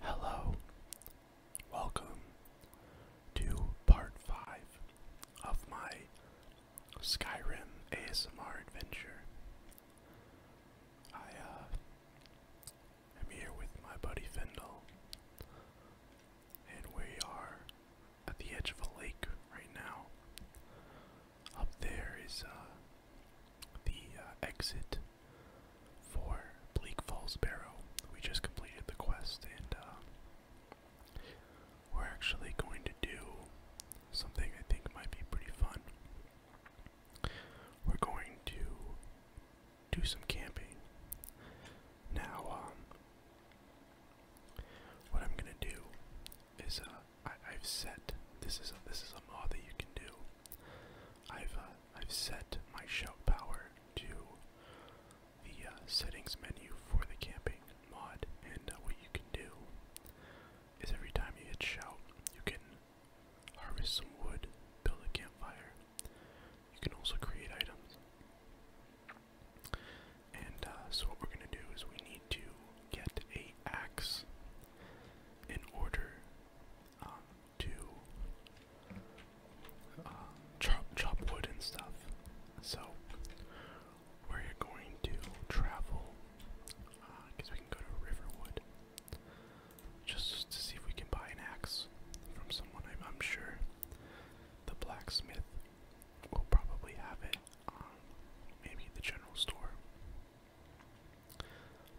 Hello, welcome to part 5 of my Skyrim ASMR adventure. I uh, am here with my buddy Fendel, and we are at the edge of a lake right now. Up there is uh, the uh, exit for Bleak Falls Barrow. We just completed the quest, and uh, we're actually going to do something I think might be pretty fun. We're going to do some camping. Now, um, what I'm gonna do is I, have set this is a, this is a mod that you can do. I've uh, I've set my shout power to the uh, settings menu for the camping mod, and uh, what you can do is every time you hit shout, you can harvest some wood, build a campfire. You can also create items. And so what we're gonna do is we need to get a axe in order um, to um, chop chop wood and stuff. So we're going to travel because uh, we can go to Riverwood just to see if we can buy an axe from someone. I'm, sure the blacksmith will probably have it. Um, maybe the general store.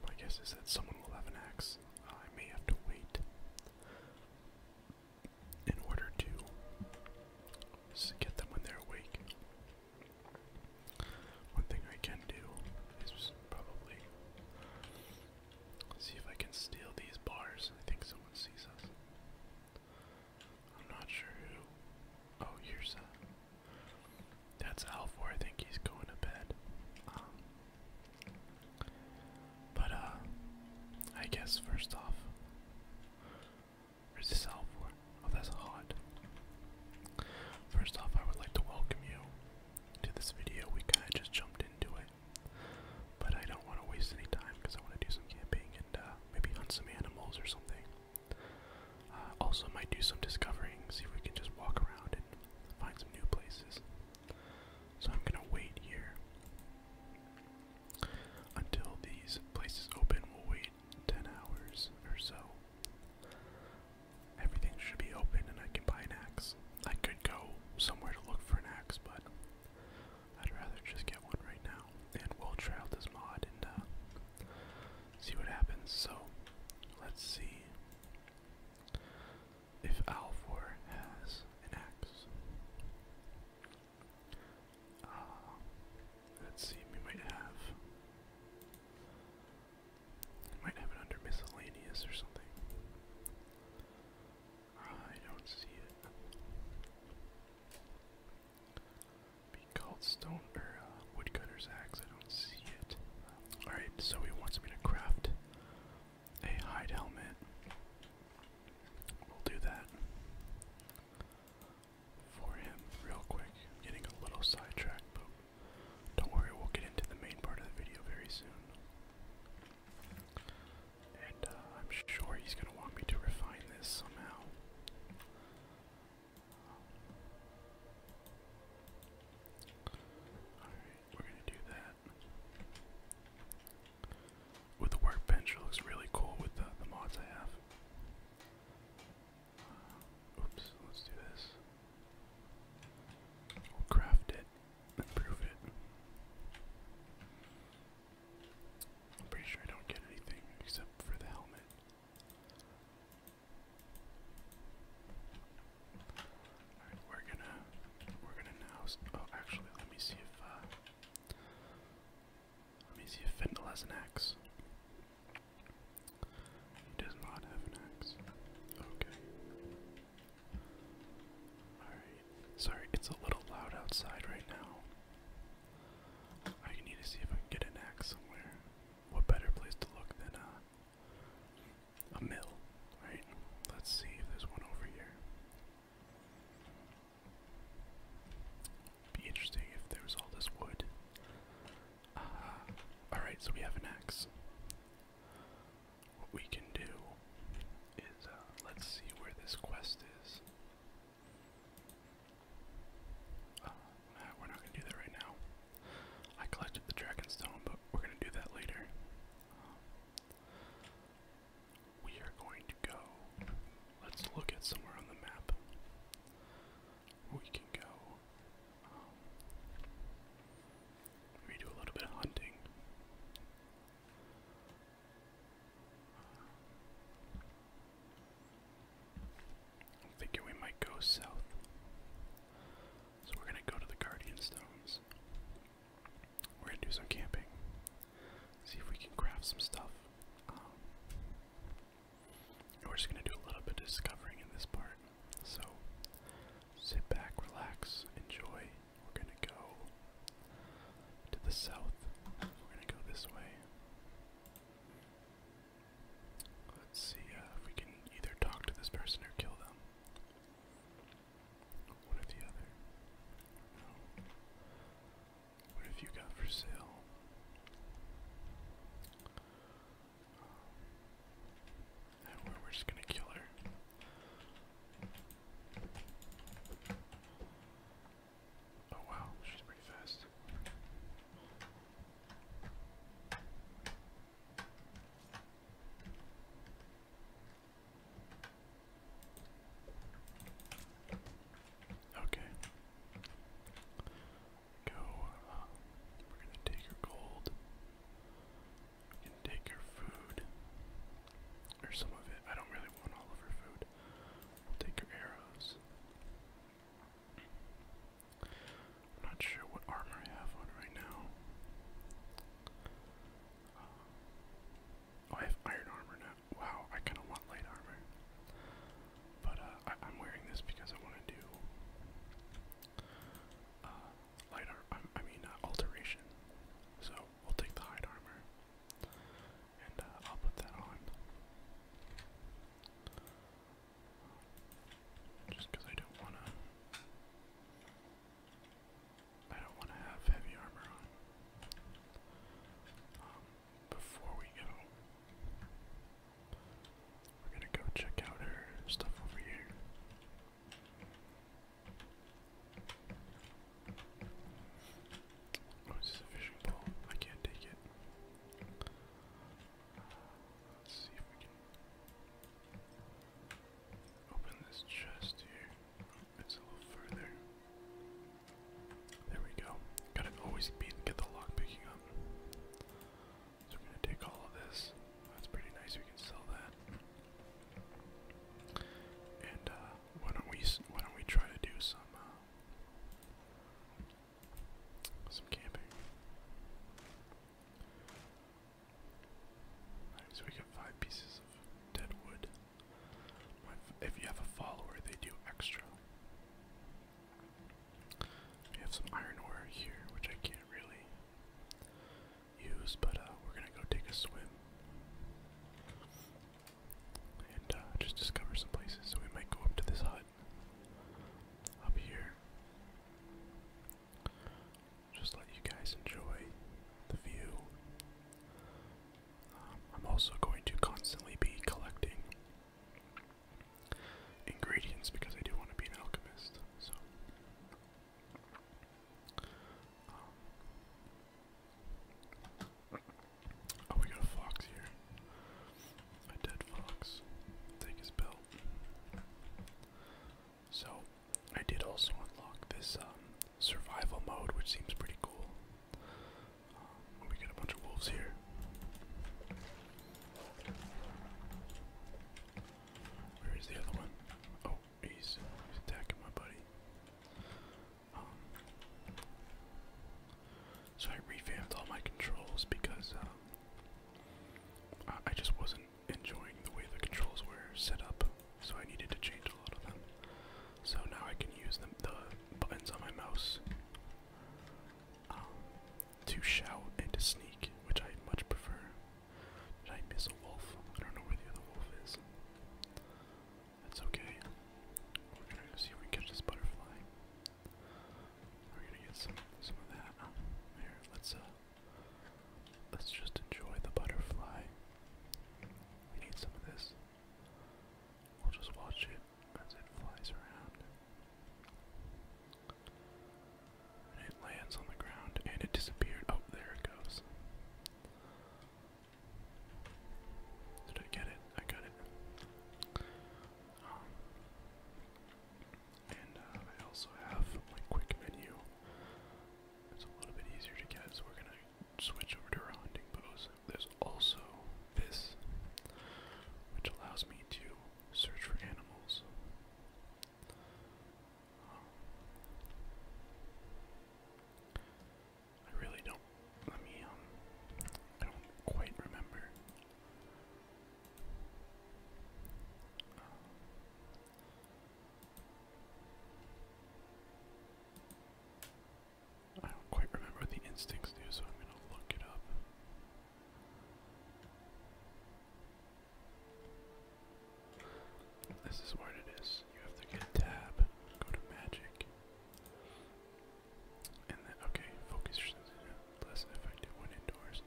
My guess is that someone will have an axe. I may have to wait in order to get them when they're awake. One thing I can do is probably see if I can steal these bars. I think someone sees us. I'm not sure who. Oh, here's that's Alvor. I think he's going to bed. Um, but uh, I guess first off, where's this Oh, that's hot. First off, I would like to welcome you to this video. We kind of just jumped into it, but I don't want to waste any time because I want to do some camping and uh, maybe hunt some animals or something. Uh, also, might do some discovering, see if we can just walk around find some new places. So I'm gonna wait here until these places open. We'll wait 10 hours or so. Everything should be open and I can buy an axe. I could go somewhere to look for an axe, but I'd rather just get one right now. And we'll try out this mod and uh, see what happens. So let's see. If Alvor has an axe. Ah, let's see, we might have. might have it under miscellaneous or something. I don't see it. Be called stone or uh, woodcutter's axe. I don't see it. Alright, so he wants me to craft a hide helmet. We'll do that for him real quick. getting a little sidetracked, but don't worry, we'll get into the main part of the video very soon. And uh, I'm sure he's going to want me to refine this somehow. Alright, we're gonna do that. With the workbench, it looks really cool with the, mods I have. Uh, oops, let's do this. We'll craft it, improve it. I'm pretty sure I don't get anything except for the helmet we're gonna we're gonna now oh actually let me see if uh, let me see if Findle has an axe. He does not have an axe. Okay. Alright. Sorry, it's a little loud outside right now. I need to see if I get an axe somewhere. What better place to look than uh a mill, right? Let's see if there's one over here. Be interesting if there all this wood. Ah, alright, so we have an axe. What we can do is, uh, let's see where this quest is. Ah, we're not gonna do that right now. I collected the dragon but we're gonna do that later. we are going to go. Let's look at somewhere on the map. We can go. Um, do a little bit of hunting. I'm thinking we might go south. So we're gonna go to the Guardian Stones. We're gonna do some camping. See if we can craft some stuff. Um, we're just gonna do a little bit of discovering in this part. So sit back, relax, enjoy. We're gonna go to the south. We're gonna go this way. Let's see uh, if we can either talk to this person or kill them. One oh, or the other. What have you got for sale? Um, we're just gonna kill her. Oh wow, she's pretty fast. Okay. Go. Uh, we're gonna take your gold. We can take your food, or some of it. I don't really want all of her food. We'll take her arrows. I'm not sure what armor I have on right now. Uh, oh, I have iron armor now. Wow, I kind of want light armor. But uh, I am wearing this because I want to do uh, light armor, I mean alteration. So we'll take the hide armor and I'll put that on. Just I don't wanna I don't wanna have heavy armor on. Um before we go we're gonna go check out her stuff over here. Oh, this fishing pole? I can't take it. Let's see if we can open this chest here. Oh, it's a little further. There we go. Gotta always be get the lock picking up. So we're gonna take all of this. That's pretty nice. We can sell that. And uh, why don't we why don't we try to do some uh, some camping? so we get five pieces of dead wood. If you have a follower, they do extra. We have some iron ore here, which I can't really use, but uh, we're gonna go take a swim. And uh, just discover some places. So we might go up to this hut up here just let you guys enjoy the view. Um, I'm also going to constantly be collecting ingredients because I do want to be an alchemist. So, um, oh, we got a fox here. A dead fox. Take his belt. So I did also unlock this um, survival mode, which seems pretty cool. Um, we got a bunch of wolves here. Where is the other one? Oh, he's, attacking my buddy. Um, so I revamped all my controls because I just wasn't enjoying the way the controls were set up, so I needed to change a lot of them. So now I can use the buttons on my mouse um, to shout and to sneak, which I much prefer. Did I miss a wolf? I don't know where the other wolf is. That's okay. We're gonna go see if we catch this butterfly. We're gonna get some some of that. here, let's uh Let's just enjoy the butterfly. We need some of this. We'll just watch it as it flies around. And it lands on the ground and it disappeared. Oh, there it goes. Did I get it? I got it. Um, and uh, I also have my quick menu. It's a little bit easier to get, so we're gonna switch over to our hunting pose. There's also this, which allows me to search for animals. Um, I really don't. Let me. Um, I don't quite remember. I don't quite remember what the instincts do, so I'm going to look it up. This is what it is. You have to get tab, go to magic, and then, okay, focus less effective when indoors.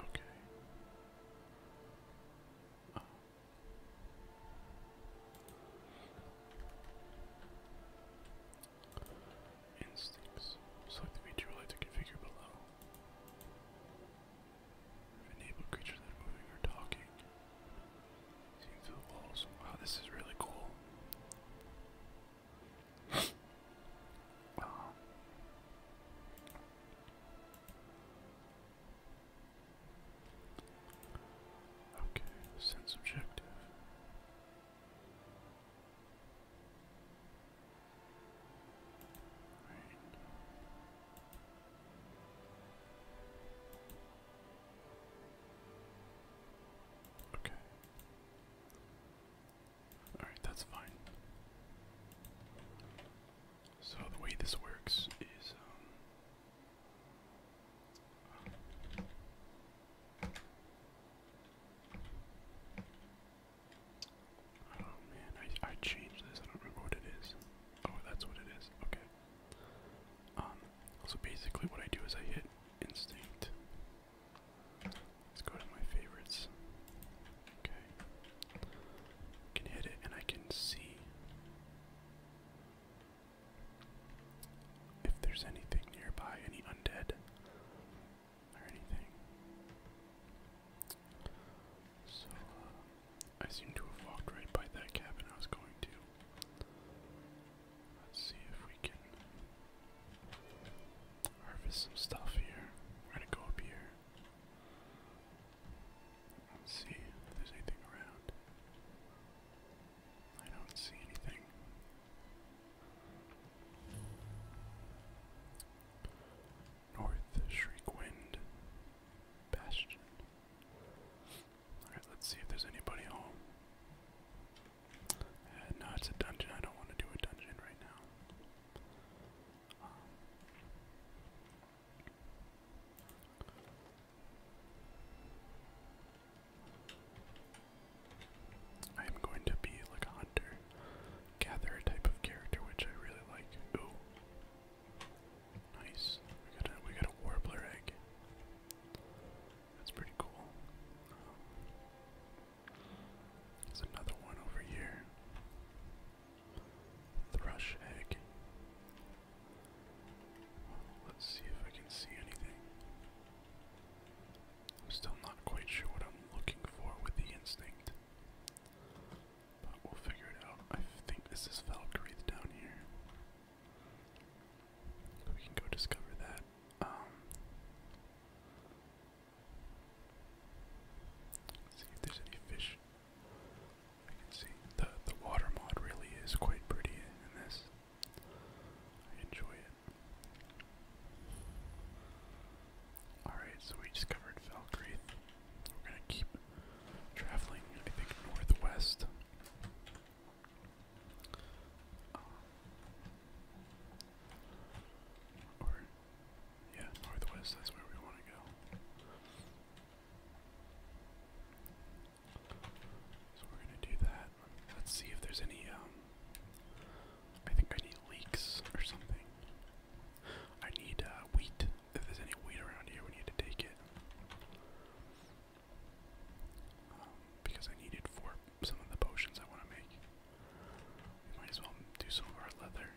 Okay. Oh. Instincts. Select the meteor light to configure below. Enable creatures that are moving or talking. Wow, this is really cool. Okay, sense objective. Right. Okay. Alright, that's fine. So the way this works is um, Oh man, I I changed this. I don't remember what it is. Oh, that's what it is. Okay. Um so basically what I do is I hit Instinct. Let's go to my favorites. Okay. can hit it and I can see if there's anything nearby, any undead or anything. So, uh, I seem to have walked right by that cabin I was going to. Let's see if we can harvest some stuff here. We're gonna go up here. Let's see if there's anything around. I don't see anything. North Shriekwind Bastion. Alright, let's see if there's anybody home. Uh, no, it's a dungeon. I don't want to do a dungeon right now. I am um, going to be like a hunter, gatherer type of character, which I really like. Ooh, nice. We got a we got a warbler egg. That's pretty cool. Um, there's another one over here. Thrush egg. Let's see if I can see anything. I'm still not quite sure what I'm looking for with the instinct. But we'll figure it out. I think this is Valkyrie down here. We can go discover that. Um, see if there's any fish. I can see the the water mod really is quite pretty in this. I enjoy it. Alright, so we discovered Falkreath. We're gonna keep traveling, I think, northwest yeah, northwest, that's where we want to go. So we're going to do that. Let's see if there's any, um, I think I need leeks or something. I need, uh, wheat. If there's any wheat around here, we need to take it. Um, because I need for some of the potions I want to make. might as well do some of our leather.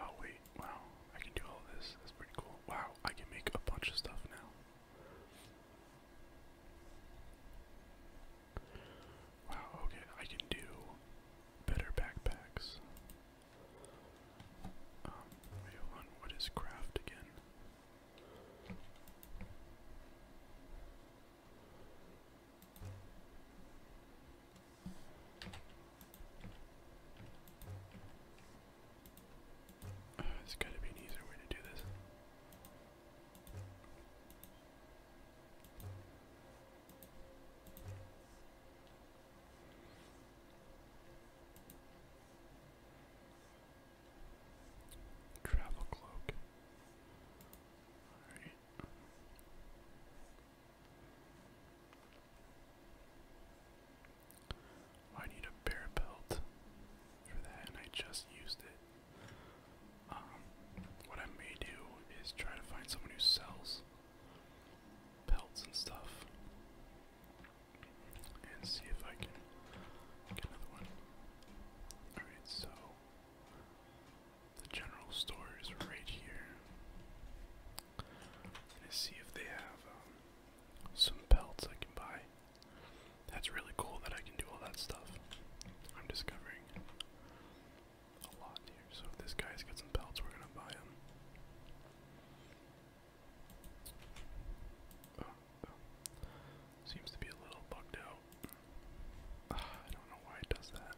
Oh wait, wow, I can do all this. That's pretty cool. Wow, I can make a bunch of stuff now. Wow, okay, I can do better backpacks. Um, what is craft again? Uh, there's gotta be an easier way to do this. Travel cloak. I need a bear belt for that, and I just used it. Um, what I may do is try to find someone who sells belts and stuff and see if I can get another one. Alright, so the general store is right here. I'm see if they have um, some pelts I can buy. That's really cool that I can do all that stuff. I'm discovering a lot here. So if this guy's got some pelts, we're gonna buy them. Oh, Seems to be a little bugged out. I don't know why it does that.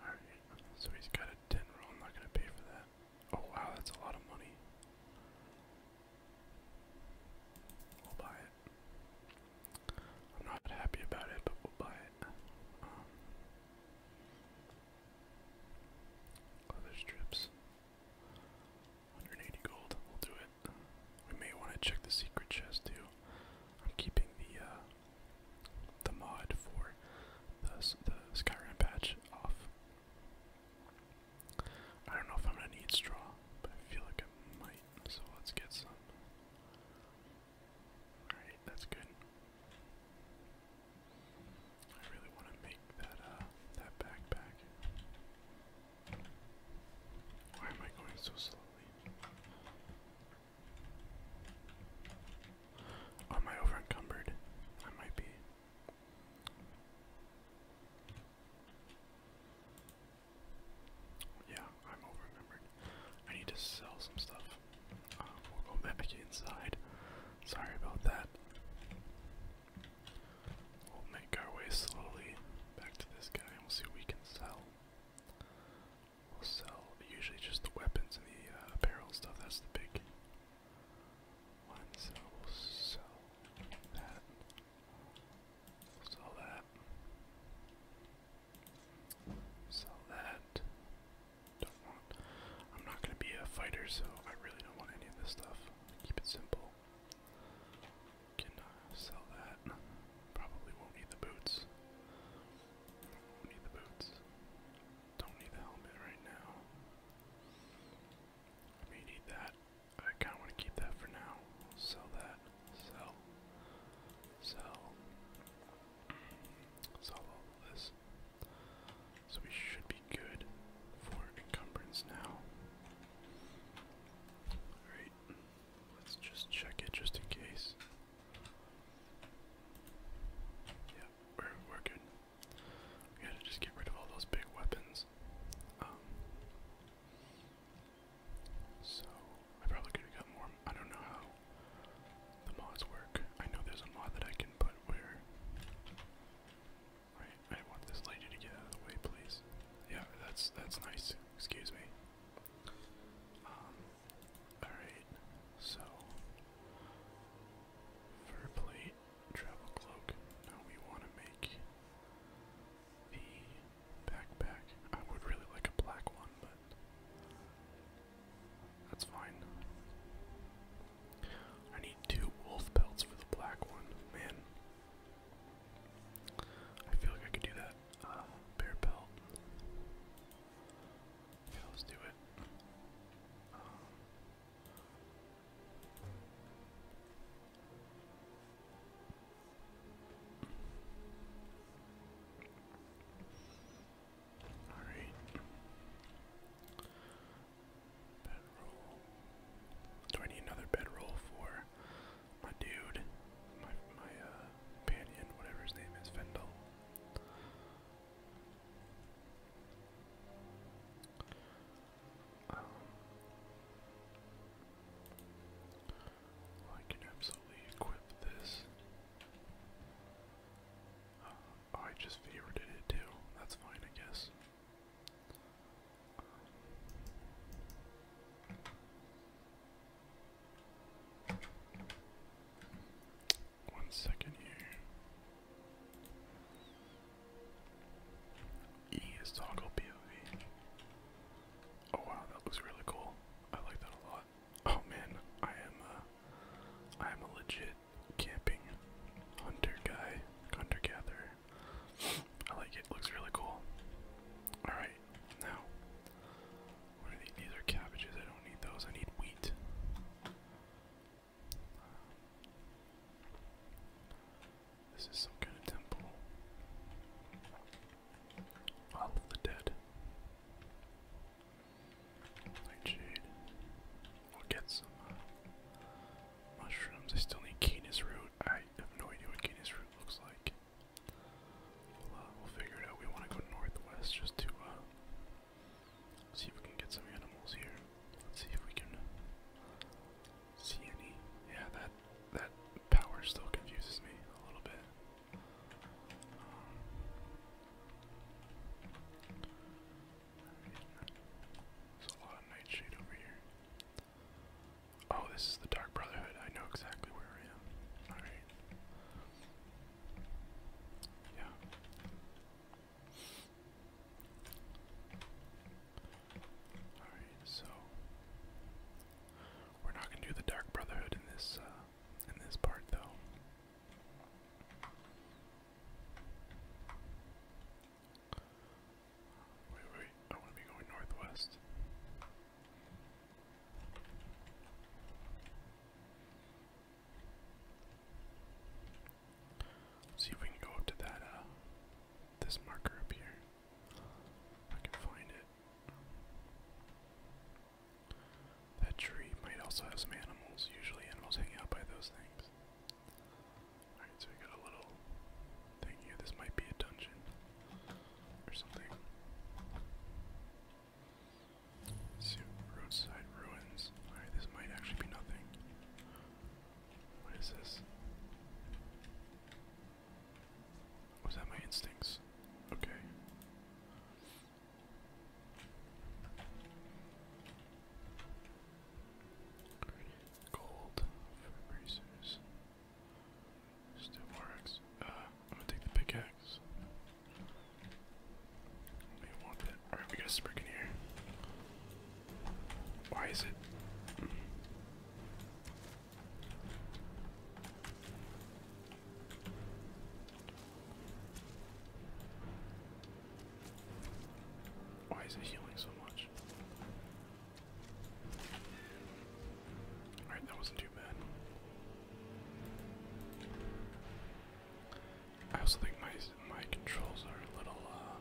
Alright, so he's got a 10 roll. I'm not going to pay for that. Oh wow, that's a lot of money. I'll buy it. I'm not happy about it, but we'll buy it. Um, strips. 180 gold, we'll do it. We may want to check the secret chest too. I'm keeping the uh, the mod for the, the Skyrim patch off. I don't know if I'm gonna need straw, but I feel like I might, so let's get some. Alright, that's good. I really want to make that uh, that backpack. Why am I going so slowly? am I over I might be. Yeah, I'm over I need to sell some stuff. Um, we'll go back inside. Sorry about that. We'll make our way slowly back to this guy and we'll see what we can sell. We'll sell usually just the weapons and the uh, apparel stuff. That's the big one. we'll sell that. sell that. Sell that. Don't want. I'm not gonna be a fighter, so I really don't want any of this stuff. Keep it simple. Can uh, sell that. Probably won't need the boots. need the boots. Don't need the helmet right now. may need that. I kind of want to keep that for now. Sell that. Sell. Sell. So we should be good for encumbrance now. Alright, let's just check it just in case. Yeah, we're, we're good. We gotta just get rid of all those big weapons. Um, so, I probably could have got more. I don't know how the mods work. I know there's a mod that I can put where. Right, I want this lady to get out of the way, please. Yeah, that's that's nice. Excuse me. Um, alright, so. Fur plate, travel cloak. Now we want to make the backpack. I would really like a black one, that's fine. I need two wolf pelts for the black one. Man, I feel like I could do that. Uh, bear pelt. Yeah, let's do it. Um, do I need another bedroll for my dude? My my uh, companion, whatever his name is, Fendel. Um, I can absolutely equip this. Oh, I just favored it too. That's fine, I guess. one second here. E is toggle POV. Oh wow, that looks really cool. I like that a lot oh man, I am a, uh, I am a legit camping hunter guy, hunter gatherer. I like it. Looks really cool. All right, now what are these? are cabbages. I don't need those. I need wheat. This is some kind of temple. of the dead. Nightshade. We'll get some uh, mushrooms. I still need Canis root. I have no idea what Canis root looks like. We'll, figure it out. We want to go northwest just to uh, see if we can get some animals here. Let's see if we can see any. Yeah, that that power still confuses me a little bit. There's a lot of nightshade over here. Oh, this is the Dark Brotherhood. I know exactly where I am. Alright. Yeah. Alright, so we're not gonna do the Dark Brotherhood in this uh, in this part though. Wait, wait, I want to be going northwest. See if we can go up to that, uh, this marker up here. I can find it. That tree might also have some animals. Usually animals hang out by those things. Alright, so we got a little thing here. This might be a dungeon or something. roadside ruins. Alright, this might actually be nothing. What is this? Was that my instincts? Okay. Granite, gold, for bracers. Still works. Uh, I'm gonna take the pickaxe. We want it. Alright, we got a sprig here. Why is it? Why is it healing so much? Alright, that wasn't too bad. I also think my my controls are a little uh,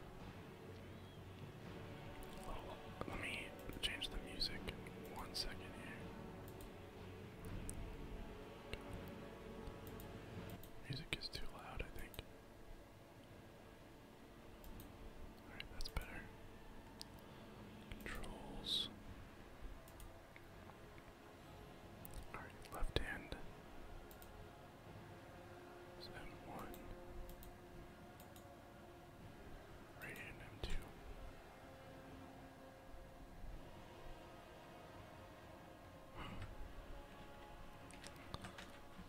a little let me change the music one second here. Music is too loud, I think. Alright, that's better. Controls. Alright, left hand. M1. Right hand M2.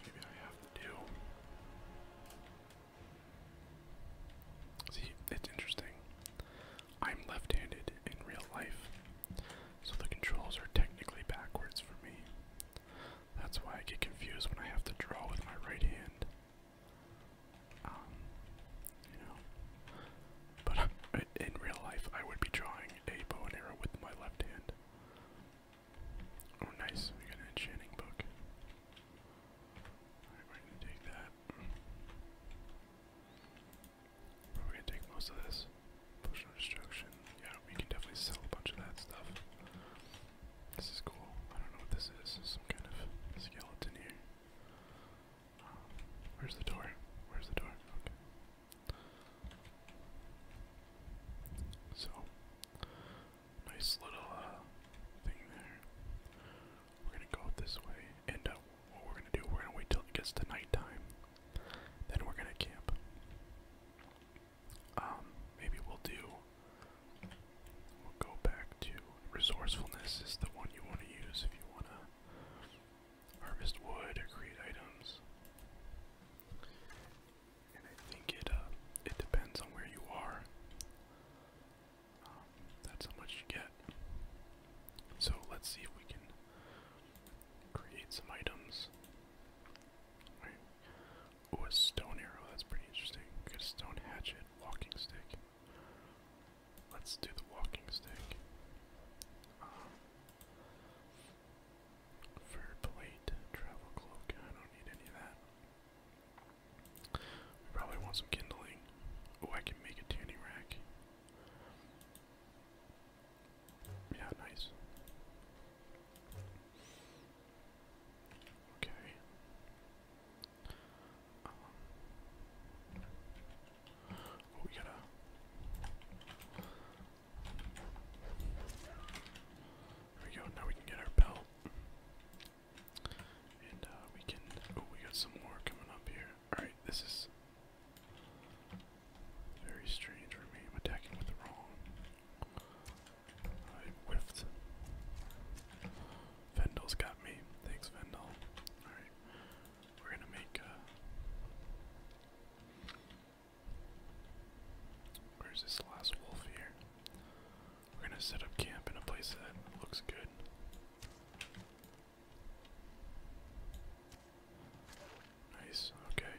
Maybe I have to do. See, it's interesting. I'm left handed in real life, so the controls are technically backwards for me. That's why I get confused when I have to draw with my right hand. Um, you know. But in real life, I would be drawing a bow and arrow with my left hand. Oh, nice. We got an enchanting book. Alright, we're gonna take that. We're gonna take most of this. Potion destruction. Yeah, we can definitely sell a bunch of that stuff. This is cool. I don't know what this is. Some kind of skeleton here. Where's the door? Where's the door? Okay. So, nice little uh, thing there. We're gonna go this way, and uh, what we're gonna do, we're gonna wait till it gets to nighttime. Then we're gonna camp. Um, maybe we'll do. We'll go back to resourcefulness is the one you want to use if you wanna harvest wood or create items. And I think it uh, it depends on where you are. Um, that's how much you get. So let's see if we can create some items. All right. Oh, a stone arrow. That's pretty interesting. Get a stone hatchet, walking stick. Let's do the walking stick. Um, fur plate, travel cloak. I don't need any of that. We probably want some kindling. Oh, I can make a tanning rack. Yeah, nice. Okay. Um, we gotta. There we go. Now we can get our belt, and uh, we can. Oh, we got some more coming up here. All right, this is very strange for me. I'm with the wrong. I whiffed. Vendel's got me. Thanks, Vendel. Alright. We're gonna make uh, Where's this last wolf here? We're gonna set up camp in a place that looks good. Nice, okay.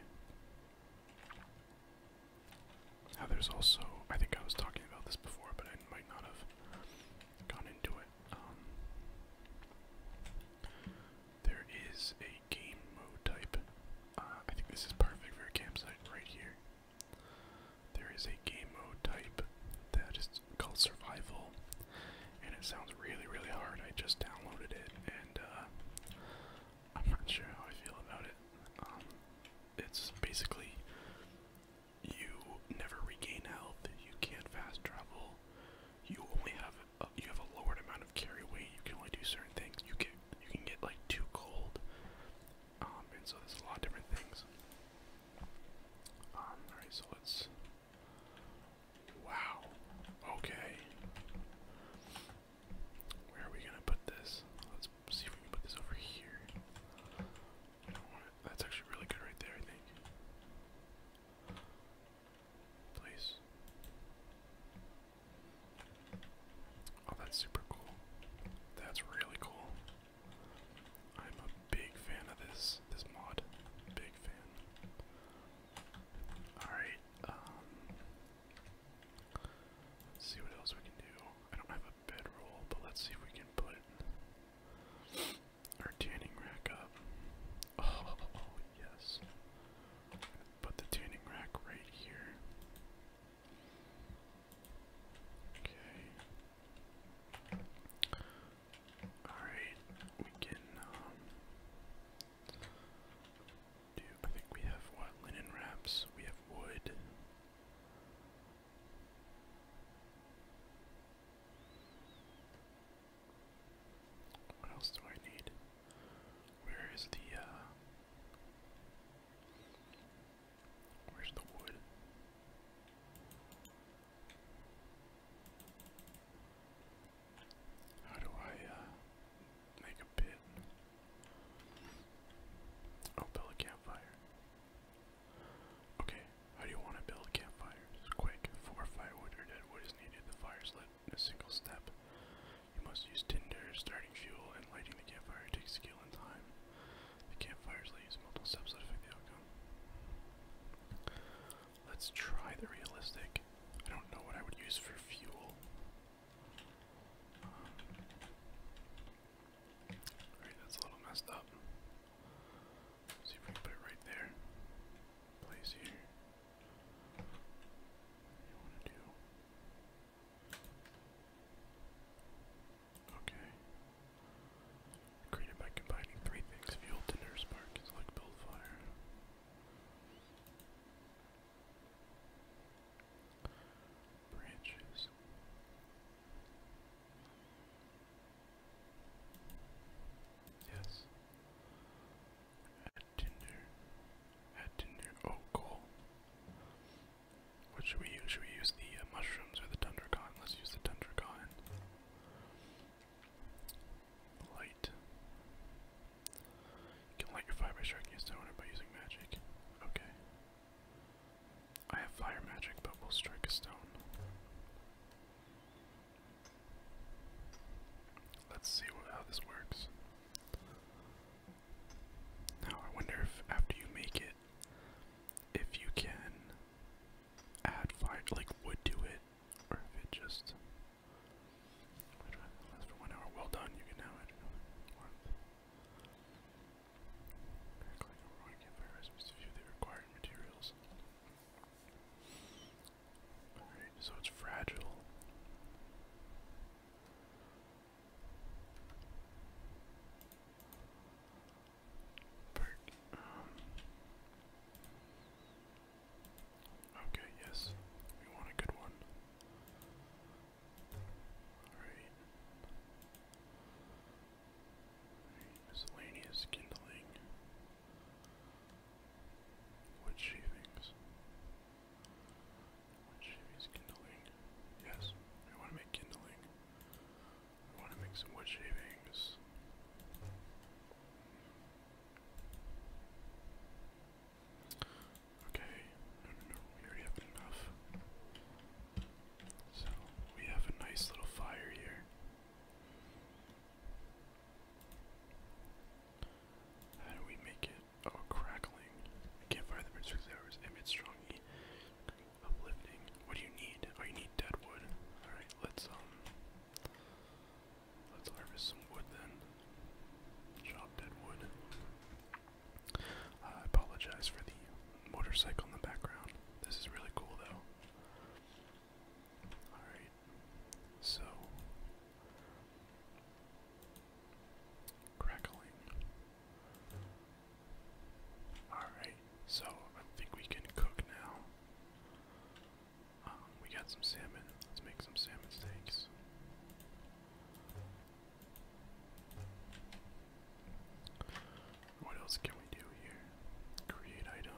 Now there's also, I think I was talking about this before, but I might not have gone into it. Um, there is a game mode type. Uh, I think this is perfect for a campsite right here. There is a game mode type that is called survival, and it sounds really, really hard. I just downloaded it, and uh, I'm not sure how I feel about it. Um, it's basically you never regain health, you can't fast travel, you only have a, you have a lowered amount of carry weight. You can only do certain things. You get you can get like too cold, um, and so there's a lot different things. Um, all right, so let's. Wow. Okay. Where are we gonna put this? Let's see if we can put this over here. I don't That's actually really good right there, I think. Please. Oh, that's super cool. That's really cool. I'm a big fan of this this mod. Big fan. Alright, um see what else we can do. I don't have a bedroll, but let's see if we can put our tuning rack up. Oh, yes. Put the tuning rack right here. Okay. Alright, we can um do I think we have what linen wraps, we have wood. What else do I need? Where is the, uh, Where's the wood? How do I, uh, Make a pit? Oh, build a campfire. Okay, how do you want to build campfires? Quick, four firewood or dead is needed. The fire lit in a single step. You must use tinder, starting fuel, and lighting the campfire takes skill and time. The campfires let use multiple steps to affect the outcome. Let's try the realistic. I don't know what I would use for fuel. Um, that's a little messed up. see if we can put it right there place here. you want to do? Okay. Created by combining three things, fuel, tinder, spark, it's like build fire. Branches. Yes. Add Tinder. Add Tinder. Oh, cool. What should we use? Should we use the uh, mushrooms or the Dundercon? Let's use the Dundercon. Light. You can light your fire by striking a stone by using magic. Okay. I have fire magic, but will strike a stone. Let's see how this works. Now, I wonder if after you make it, if you can add fire, like wood to it, or if it just. Last for one hour. Well done. You can now add another warmth. Recycling overall campfire recipes to view the required materials so it's fragile. Um, okay, yes. We want a good one. Alright, miscellaneous kindling. Wood shavings. Wood shavings, kindling. Yes, we want to make kindling. We want to make some wood shavings. Okay, no, no, we already have enough. So, we have a nice little fire here. How do we make it? Oh, crackling. I can't fire the burn six hours. Emit strong e. Uplifting. What do you need? Oh, you need dead Alright, let's, um. Let's harvest some wood then. Chop dead I apologize for the motorcycle in the background. This is really cool though. Alright, so crackling. Alright, so I think we can cook now. Um, we got some salmon. Let's make some salmon steaks. What else can we do here? Create item.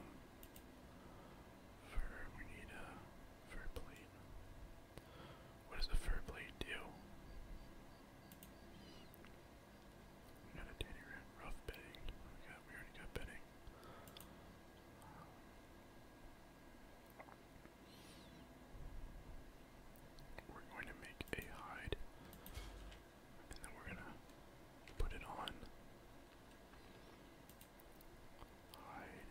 Fur, we need a uh, fur plate. What does the fur blade do? Not a daily rent, rough bedding. We, got, we already got bedding. we're going to make a hide, and then we're going to put it on Hide.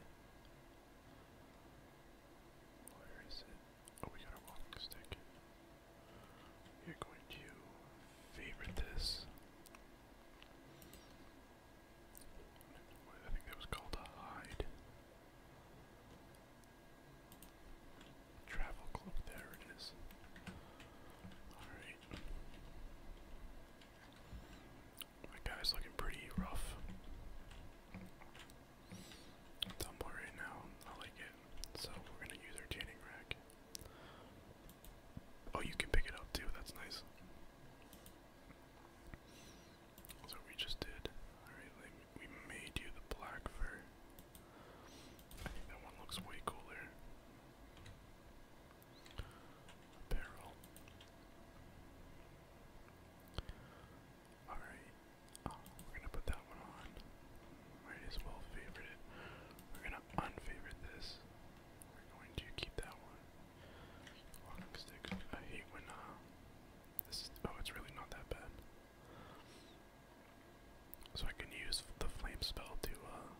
Where is it? Oh, we got a walking stick. We are going to favorite this. I think that was called a hide. Travel club, there it is. Alright. That guy's looking pretty rough. Tumble right now, I like it. So we're gonna use our tanning rack. Oh, you can pick it up too, that's nice. That's we just did. we may do the black fur. I think that one looks way cooler. Barrel. Alright. Oh, we're gonna put that one on. Might as well favorite it. We're gonna unfavorite this. We're going to keep that one. I hate when uh oh it's really not that bad. So I can use the flame spell to uh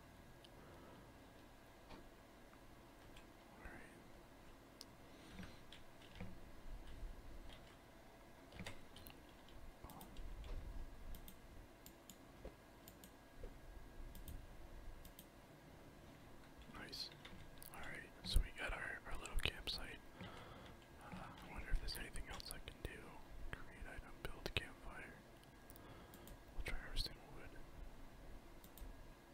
Nice. Alright, so we got our, our little campsite. Uh, I wonder if there's anything else I can do. Create item, build campfire. We'll try harvesting wood that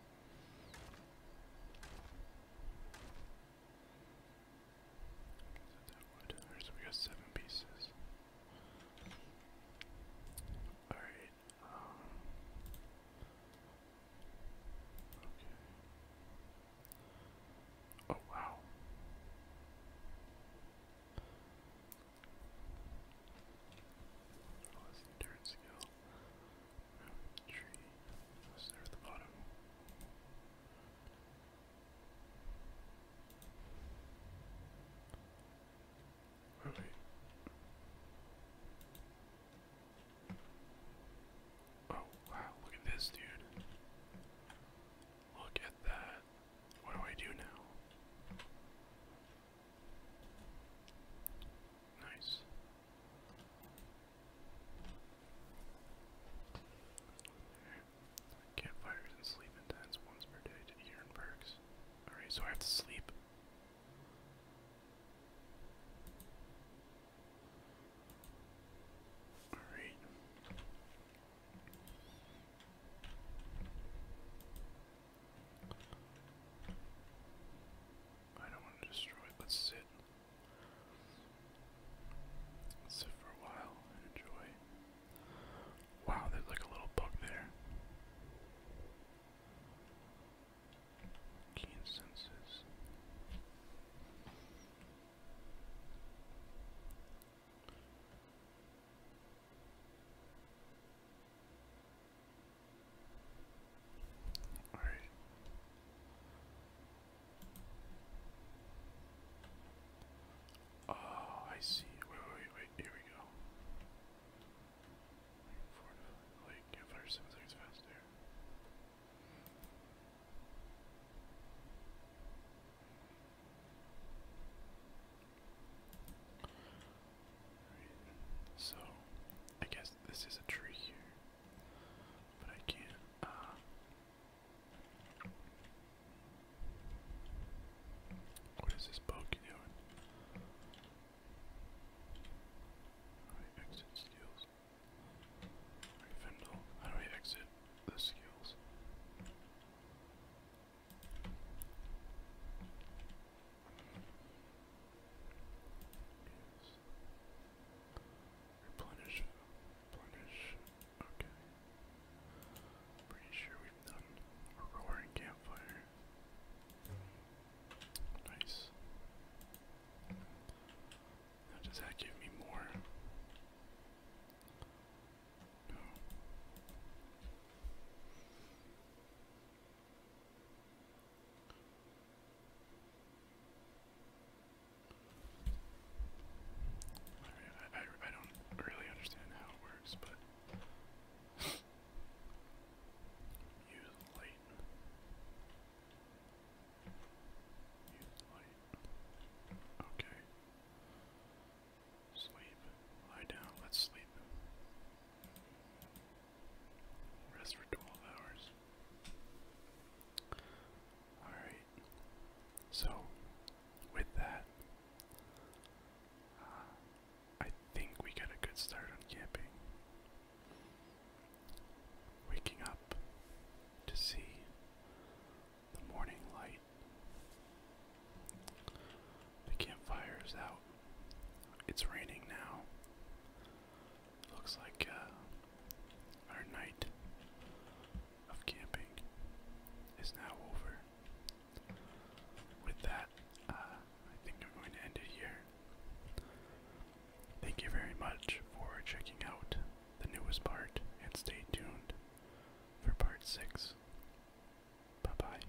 wood? so we got seven pieces. Alright, um, Okay. Oh, wow. Oh, that's the skill. Oh, wow, look at this, dude. Look at that. What do I do now? Nice. Campfires and sleep in once per day to earn perks. Alright, so I have to sleep. Alright. I don't want to destroy it. Let's sit. sit for a while enjoy. Wow, there's like a little bug there. Keen senses. Oh, I see. Wait, wait, wait, wait. Here we go. Like, can't seven seconds faster. So I guess this is a tree here, but I can't. Uh, what is this poke doing? Alright, exit skills. Alright, Fendel, how do I exit the skills? Replenish. Replenish. Okay. Pretty sure we've done a roaring campfire. Nice. does that give me more? No. I, I, I don't really understand how it works, but use light. Use light. Okay. Sleep. Lie down. Let's sleep. Rest for 12 hours. Alright. So, with that, uh, I think we got a good start on camping. Waking up to see the morning light. The campfire is out. It's raining now. Looks like uh, our night of camping is now over. With that, uh, I think I'm going to end it here. Thank you very much for checking out the newest part, and stay tuned for part 6. Bye bye.